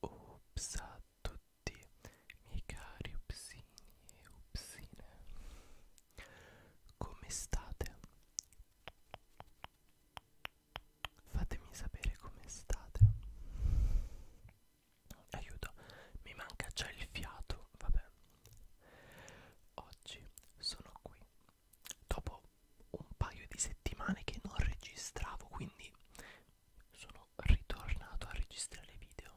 Ups a tutti miei cari upsini e upsine Come state? Fatemi sapere come state Aiuto, mi manca già il fiato, vabbè Oggi sono qui dopo un paio di settimane che non registravo, quindi sono ritornato a registrare video.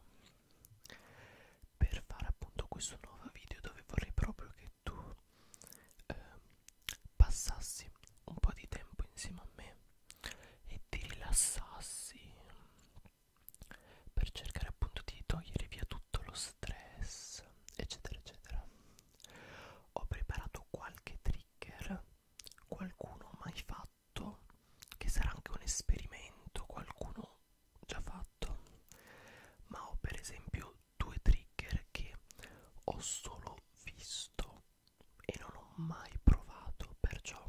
Per fare appunto questo nuovo video dove vorrei proprio che tu eh, passassi un po' di tempo insieme a me e ti rilassassi per cercare appunto di togliere via tutto lo stress eccetera eccetera ho preparato qualche trigger qualcuno mai fatto che sarà anche un esperimento qualcuno già fatto ma ho per esempio due trigger che ho solo visto e non ho mai provato perciò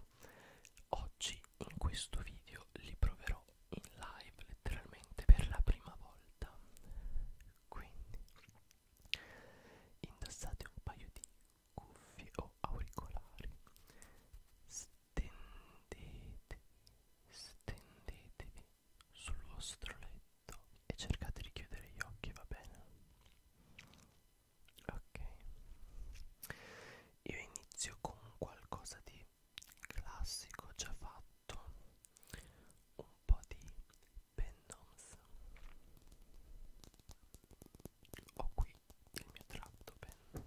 oggi oggi in questo video li proverò in live letteralmente per la prima volta quindi indossate un paio di cuffie o auricolari stendetevi stendetevi sul vostro letto e cercate di chiudere gli occhi va bene ok io inizio con qualcosa di classico già fatto un po' di pendoms ho qui il mio tratto pen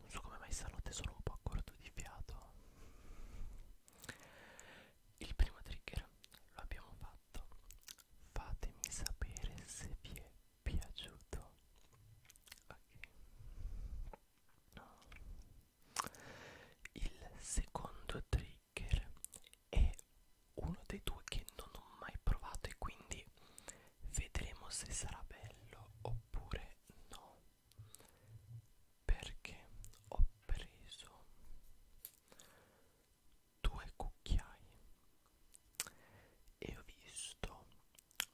non so come mai stanotte sono un po' corto di fiato il primo trigger lo abbiamo fatto fatemi sapere se vi è piaciuto ok il secondo trigger è uno dei due che non ho mai provato e quindi vedremo se sarà bello oppure è no perché ho preso due cucchiai e ho visto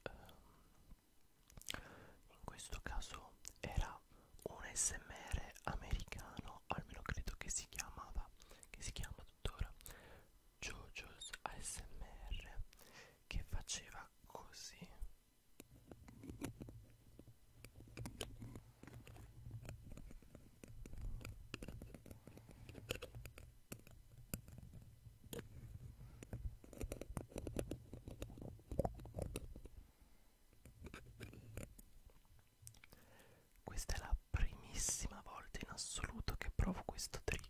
um, in questo caso era un smr americano almeno credo che si chiamava che si chiama tuttora JoJo's ASMR che faceva così questa è la primissima volta in assoluto che provo questo trio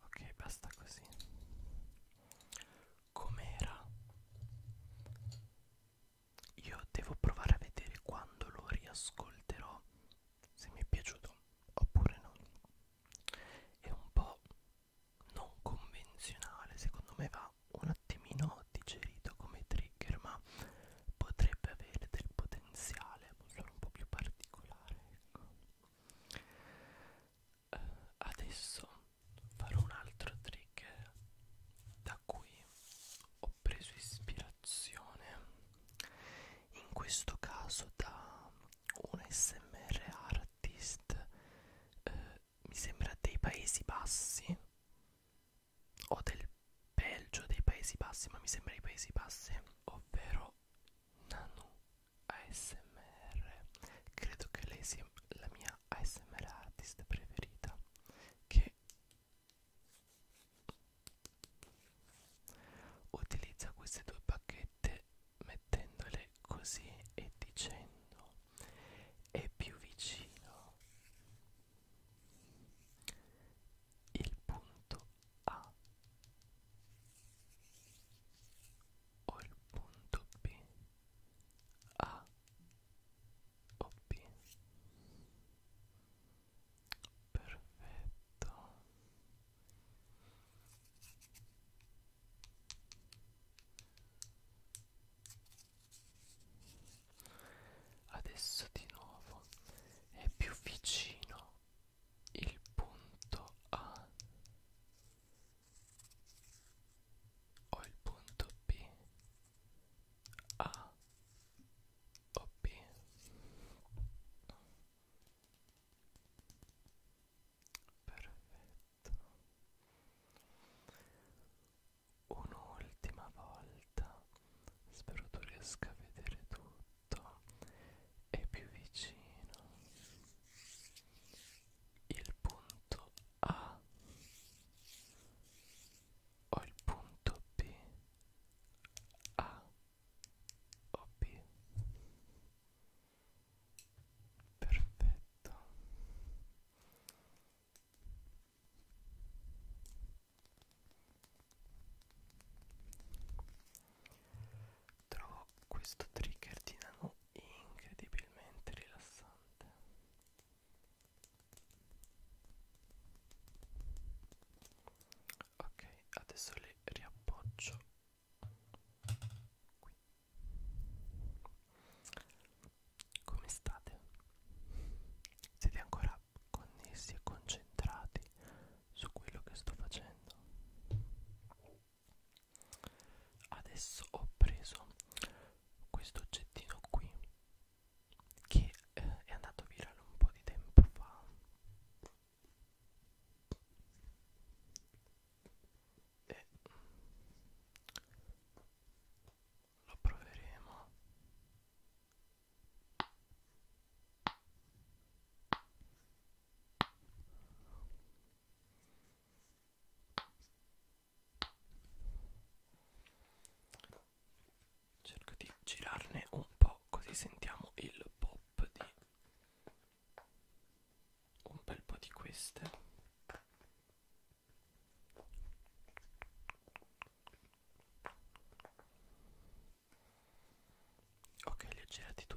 Ok, basta così. Com'era? Io devo provare a vedere quando lo riascolterò se mi è piaciuto oppure no è un po' non convenzionale secondo me va un attimino digerito come trigger ma potrebbe avere del potenziale solo un po' più particolare ecco uh, adesso farò un altro trigger da cui ho preso ispirazione in questo caso da un smr artist eh, mi sembra dei paesi bassi o del belgio dei paesi bassi ma mi sembra i paesi bassi ovvero nanu asmr credo che lei sia la mia asmr artist preferita che Utilizza queste due bacchette mettendole così e dicendo è più vicino il punto A o il punto B A o B perfetto adesso di nuovo è più vicino il punto A o il punto B A o B Perfetto. Un'ultima volta. Spero tu riesca a vedere tutto. E più vicino. Il punto A o il punto B. A hobby perfetto trovo questo trigger di nano incredibilmente rilassante ok adesso le riappoggio qui come state? Siete ancora connessi e concentrati su quello che sto facendo? Adesso ho preso questo oggettino qui che eh, è andato virale un po' di tempo fa e lo proveremo cerco di girarne un po' così sentiamo il pop di un bel po' di queste ok li ho girati tutti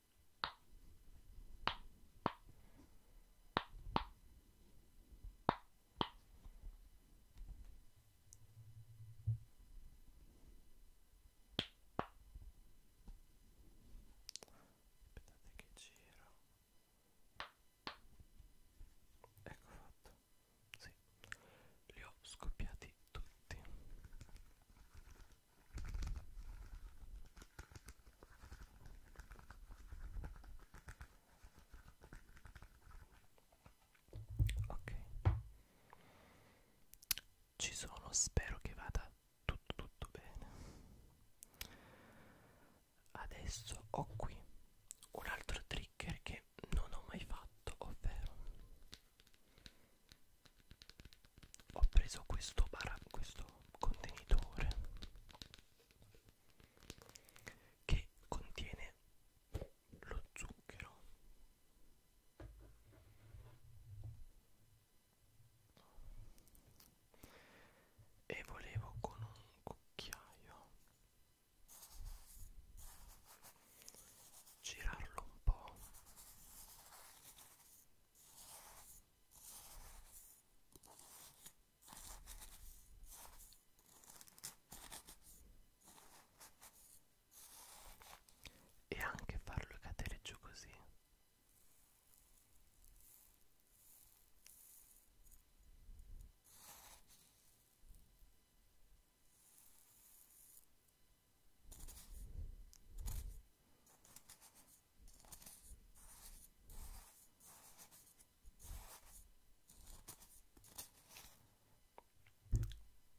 Aspettate che giro. Ecco fatto. Sì. Li ho scoppiati tutti ok ci sono spero che vada tutto tutto bene adesso ho qui un altro trigger che non ho mai fatto ovvero ho preso questo, bara, questo contenitore che contiene lo zucchero e volevo con un cucchiaio girarlo un po' e anche farlo cadere giù così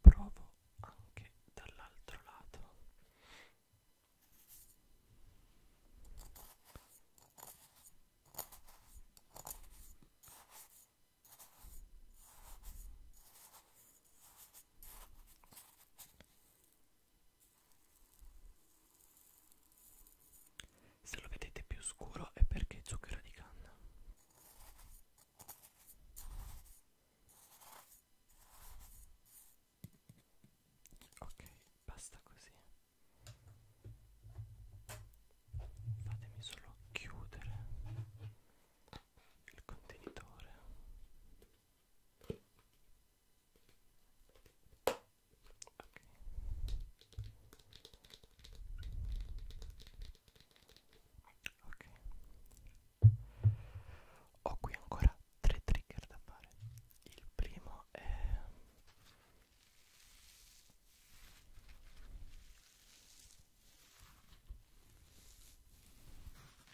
Provo anche dall'altro lato. Se lo vedete più scuro è perché è zucchero di canna. Ok, basta così. Fatemi solo chiudere il contenitore ok ho qui ancora tre trigger da fare il primo è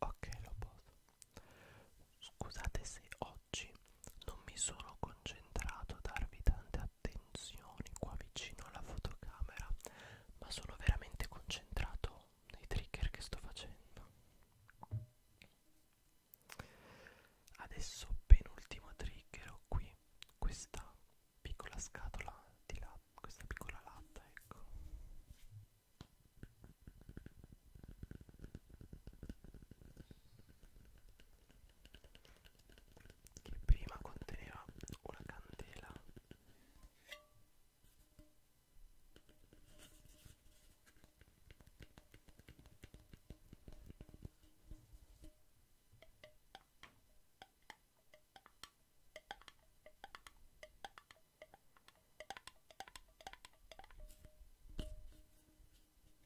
Ok, lo posso. Scusate se oggi non mi sono concentrato a darvi tante attenzioni qua vicino alla fotocamera, ma sono veramente concentrato nei trigger che sto facendo. Adesso penultimo trigger ho qui questa piccola scatola di latta, questa piccola latta, ecco che prima conteneva una candela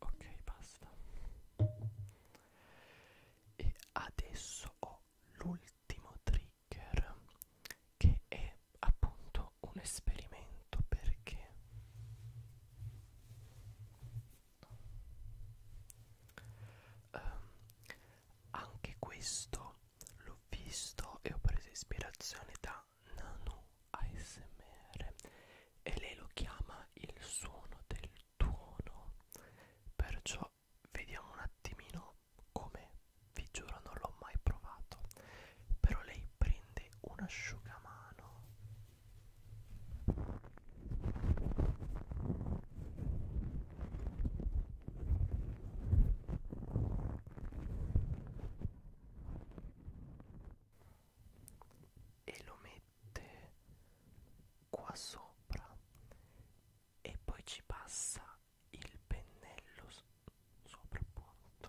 Ok, basta. E adesso ho l'ultimo trigger che è appunto un esperimento perché Um, anche questo l'ho visto e ho preso ispirazione da Nanu ASMR e lei lo chiama il suono del tuono. Perciò vediamo un attimino come vi giuro non l'ho mai provato. Però lei prende un asciugamano e lo mette qua sopra e poi ci passa il pennello so sopra appunto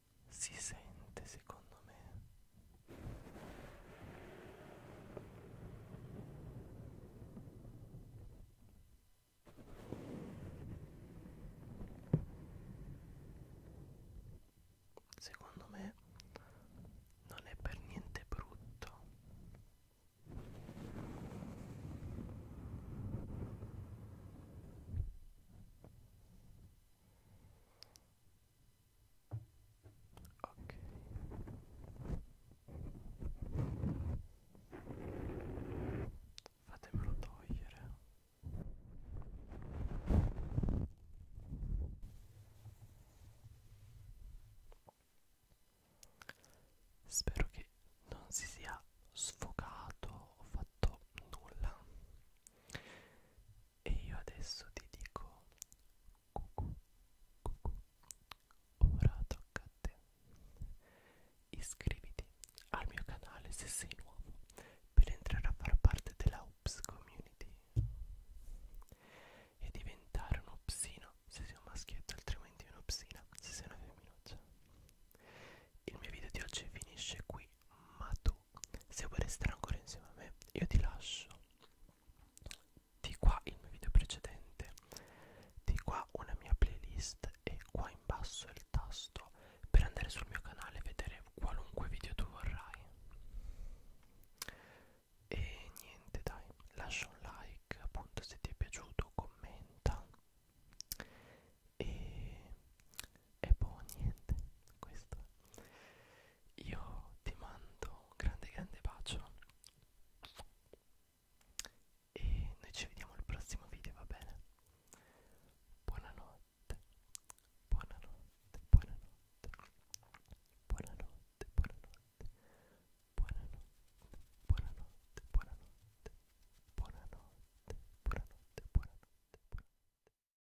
si sente secondo me Secondo me non è per niente brutto. Ok. Fatemelo togliere. Spero che non si sia sfocato o fatto nulla e io adesso ti dico cucù, cucù. ora tocca a te iscriviti al mio canale se sei nuovo per entrare a far parte della Ups Community e diventare un upsino se sei un maschietto altrimenti un'upsina se sei una femminuccia il mio video di oggi finisce qui ma tu tu se vuoi restare ancora insieme a me io ti lascio di qua il mio video precedente di qua una mia playlist e qua in basso il tasto per andare sul mio canale e vedere qualunque video tu vorrai e niente dai lascia un like appunto se ti è piaciuto commenta e, e poi boh, niente questo io ti mando un grande grande bacio e noi ci vediamo al prossimo video va bene buonanotte buonanotte buonanotte buonanotte buonanotte buonanotte buonanotte buonanotte buonanotte buonanotte buonanotte buonanotte